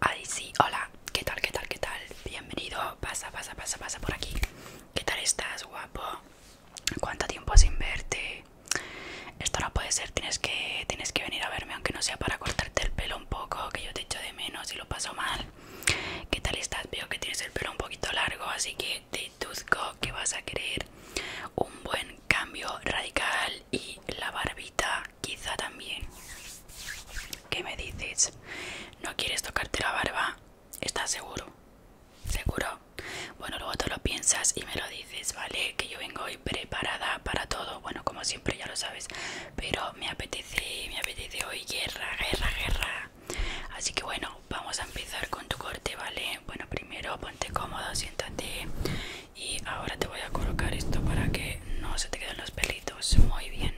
Ay sí, hola, ¿qué tal, qué tal, qué tal? Bienvenido, pasa, pasa, pasa, pasa por aquí ¿Qué tal estás, guapo? ¿Cuánto tiempo sin verte? Esto no puede ser, tienes que, tienes que venir a verme Aunque no sea para cortarte el pelo un poco Que yo te echo de menos y lo paso mal ¿Qué tal estás? Veo que tienes el pelo un poquito largo Así que te deduzco que vas a querer un buen cambio radical y la barbita quizá también. ¿Qué me dices? ¿No quieres tocarte la barba? ¿Estás seguro? ¿Seguro? Bueno, luego tú lo piensas y me lo dices, ¿vale? Que yo vengo hoy preparada para todo. Bueno, como siempre ya lo sabes. Pero me apetece, me apetece hoy guerra, guerra, guerra. Así que bueno, vamos a empezar con tu corte, ¿vale? Bueno, primero ponte cómodo, siéntate y ahora te voy a colocar esto para que no se te queden los pelitos muy bien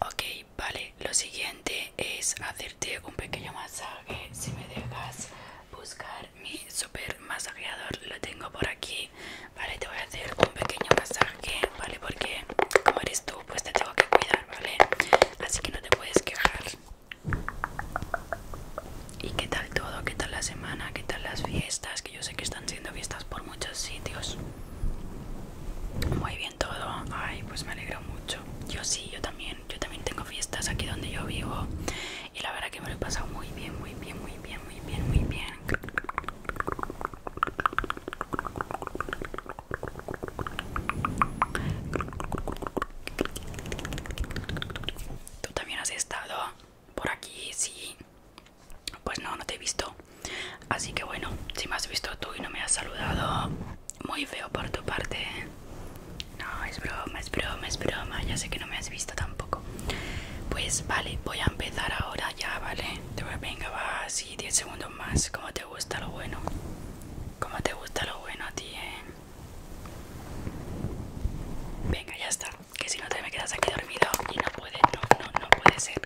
ok vale lo siguiente es hacerte un pequeño masaje si me dejas buscar mi super masajeador lo tengo por aquí vale te voy a hacer un pequeño masaje vale porque como eres tú pues te tengo que cuidar vale así que no te puedes quejar ¿Y qué tal todo? ¿Qué tal la semana? ¿Qué tal las fiestas? Que yo sé que están siendo fiestas por muchos sitios. Muy bien todo. Ay, pues me alegro mucho. Yo sí, yo también. Yo también tengo fiestas aquí donde yo vivo. Y la verdad que me lo he pasado muy bien, muy bien, muy bien, muy bien, muy bien. Tú también has estado por aquí, sí. Pues no, no te he visto. Así que bueno, si me has visto tú y no me has saludado, muy feo por tu parte. No, es broma, es broma, es broma. Ya sé que no me has visto tampoco. Pues vale, voy a empezar ahora ya, ¿vale? venga, va sí, 10 segundos más. Como te gusta lo bueno. Como te gusta lo bueno a ti, eh? Venga, ya está. Que si no te me quedas aquí dormido y no puede, no, no, no puede ser.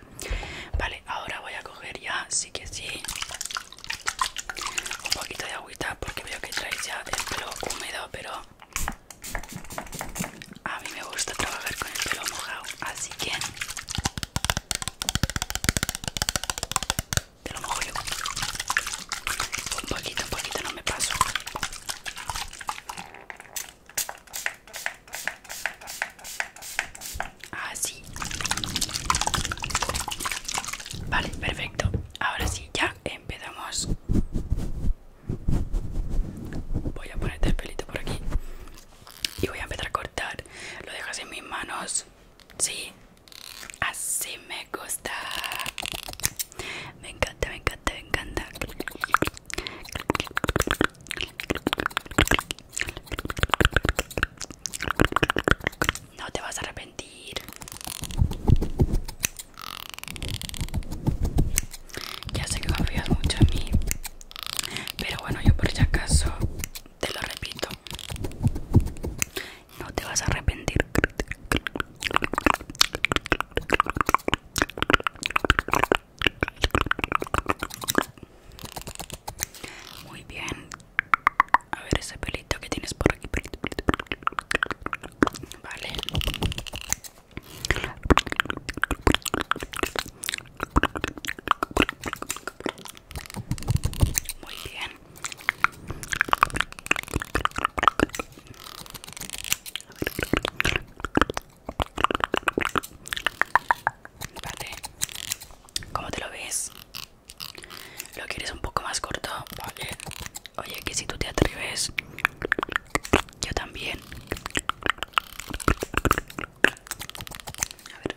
Vale, ahora voy a coger ya, sí que sí, un poquito de agüita porque veo que traes ya el pelo húmedo, pero a mí me gusta trabajar con el pelo mojado, así que te lo mojo Un poquito, un poquito, no me paso. Así. Ah, vale, perfecto. Ahora sí, ya empezamos. Voy a ponerte el pelito por aquí. Y voy a empezar a cortar. Lo dejas en mis manos. Sí, Así me gusta. Me encanta, me encanta, me encanta. No te vas a arrepentir. Ya sé que confías mucho en mí. Pero bueno, yo por si acaso te lo repito no te vas a arrepentir muy bien a ver ese pelito que tienes por aquí vale muy bien. ¿Cómo te lo ves? ¿Lo quieres un poco más corto? Oye, que si tú te atreves, yo también. A ver.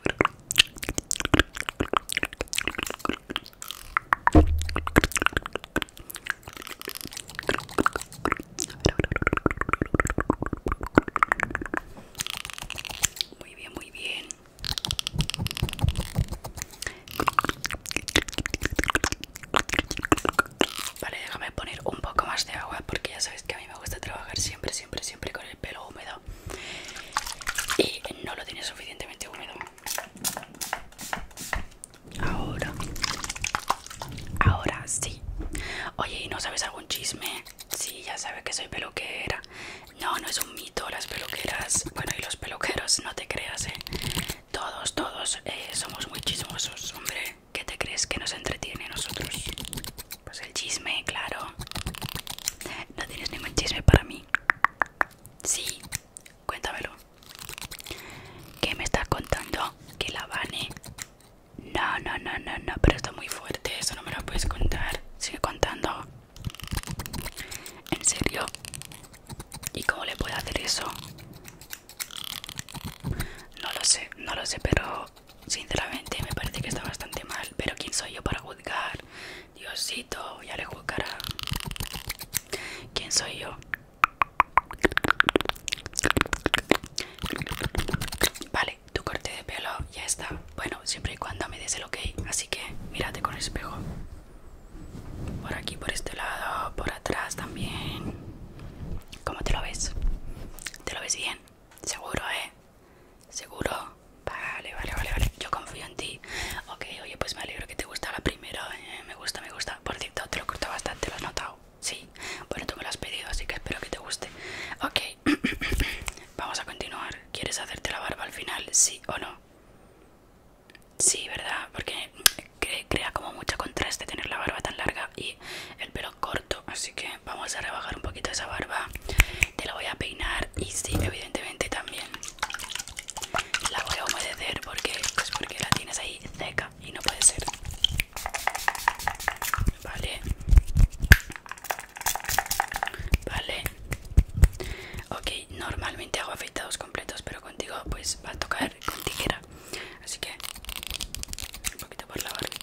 Muy bien, muy bien. Vale, déjame poner un poco más de agua porque ya sabéis que a mí me gusta trabajar siempre, siempre, siempre con el pelo húmedo y no lo tiene suficientemente húmedo ahora ahora sí oye y no sabes algún chisme sí ya sabes que soy peluquera no no es un mito las peluqueras bueno y los peluqueros no te creas ¿eh? todos todos eh, somos muy chismosos hombre ¿Qué te crees que nos entretiene a nosotros? Pues el chisme, claro. No tienes ningún chisme para mí. Sí, cuéntamelo. ¿Qué me estás contando? Que la bane? No, no, no, no, no, pero está muy fuerte, eso no me lo puedes contar. Sigue contando. ¿En serio? ¿Y cómo le puedo hacer eso? No lo sé, no lo sé, pero Sinceramente me parece que está bastante mal, pero ¿quién soy yo para juzgar? Diosito, ya le juzgará. ¿Quién soy yo? Vale, tu corte de pelo ya está. Bueno, siempre y cuando me des el ok, así que mírate con el espejo. Por aquí, por este lado, por atrás también. ¿Cómo te lo ves? ¿Te lo ves bien? Seguro, ¿eh? ¿Seguro? Vale, vale, vale, vale. Yo confío en ti. Ok, oye, pues me alegro que te gusta la primera. Eh, me gusta, me gusta. Por cierto, te lo corto bastante, ¿lo has notado? Sí. Bueno, tú me lo has pedido, así que espero que te guste. Ok, vamos a continuar. ¿Quieres hacerte la barba al final? Sí o no. Sí, ¿verdad? Porque eh, crea como mucho contraste tener la barba tan larga y el pelo corto así que vamos a rebajar un poquito esa barba te la voy a peinar y sí evidentemente también la voy a humedecer porque pues, porque la tienes ahí seca y no puede ser vale vale ok normalmente hago afeitados completos pero contigo pues va a tocar con tijera así que un poquito por la barbita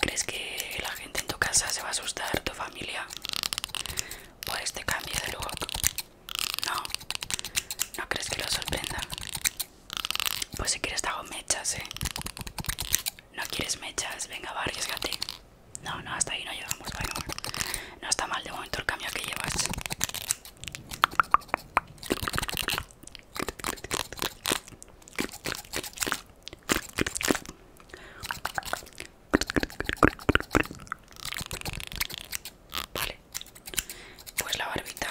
¿Crees que la gente en tu casa se va a asustar, tu familia? Por este cambio de lugar? No, no crees que lo sorprenda. Pues si quieres te hago mechas, eh. No quieres mechas, venga, va, arriesgate. No, no, hasta ahí no llegamos, bueno. No está mal de momento el cambio que llevas. Vale, pues la barbita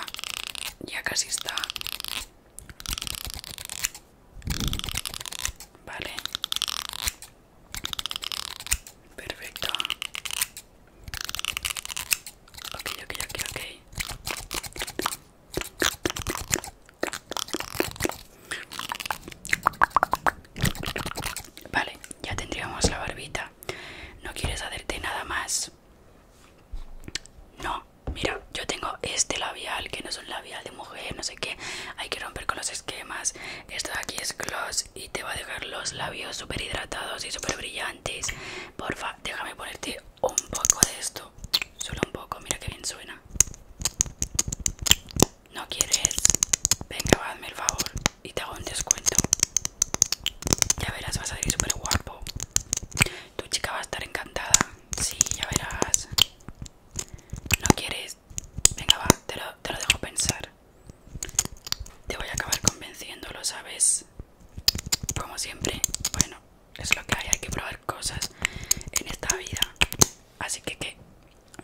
ya casi está Vale. Perfecto. Ok, ok, ok, ok. Vale, ya tendríamos la barbita. ¿No quieres hacerte nada más? No, mira, yo tengo este labial que no es un labial de mujer, no sé qué. Hay que romper con los esquemas. Esto de aquí es gloss y te va a dejar los labios súper hidratados y súper brillantes. Porfa, déjame ponerte un poco de esto. Solo un poco, mira que bien suena. ¿No quieres? Venga, hazme el favor y te hago un descuento. Ya verás, vas a salir súper guapo. Tu chica va a estar encantada. Si ya verás. ¿No quieres? Venga, va, te lo, dejo pensar. Te voy a acabar convenciendo, lo sabes. Como siempre, bueno, es lo que hay, hay que probar cosas en esta vida. Así que, ¿qué?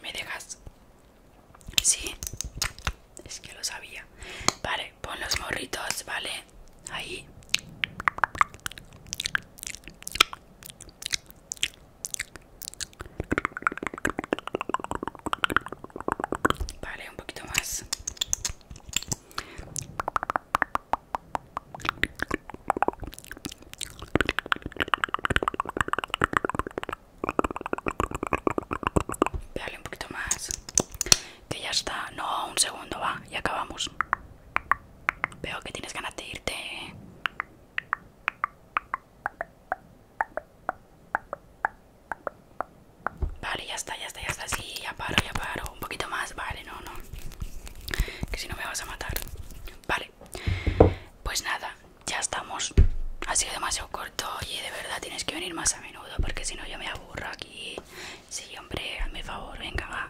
¿Me dejas? Sí es que lo sabía. Vale, pon los morritos, ¿vale? Ahí. Vale, un poquito más. vale un poquito más que ya está. No, un segundo, va, y acabamos. Veo que tienes ganas de irte. Vale, ya está, ya está, ya está. Sí, ya paro, ya paro. Un poquito más, vale, no, no. Que si no me vas a matar. Vale. Pues nada, ya estamos. Ha sido demasiado corto. y de verdad tienes que venir más a menudo porque si no yo me aburro burro aquí. Sí, hombre, a mi favor, venga, va.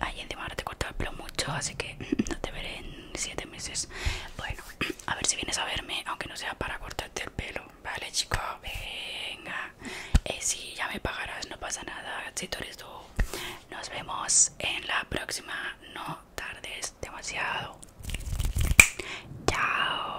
Ahí encima ahora te he el pelo mucho, así que no te veré en siete meses. Bueno, a ver si vienes a verme, aunque no sea para cortarte el pelo. Vale, chico, venga. Eh, sí, ya me pagarás, no pasa nada. Si tú eres tú. Nos vemos en la próxima. No tardes demasiado. Chao.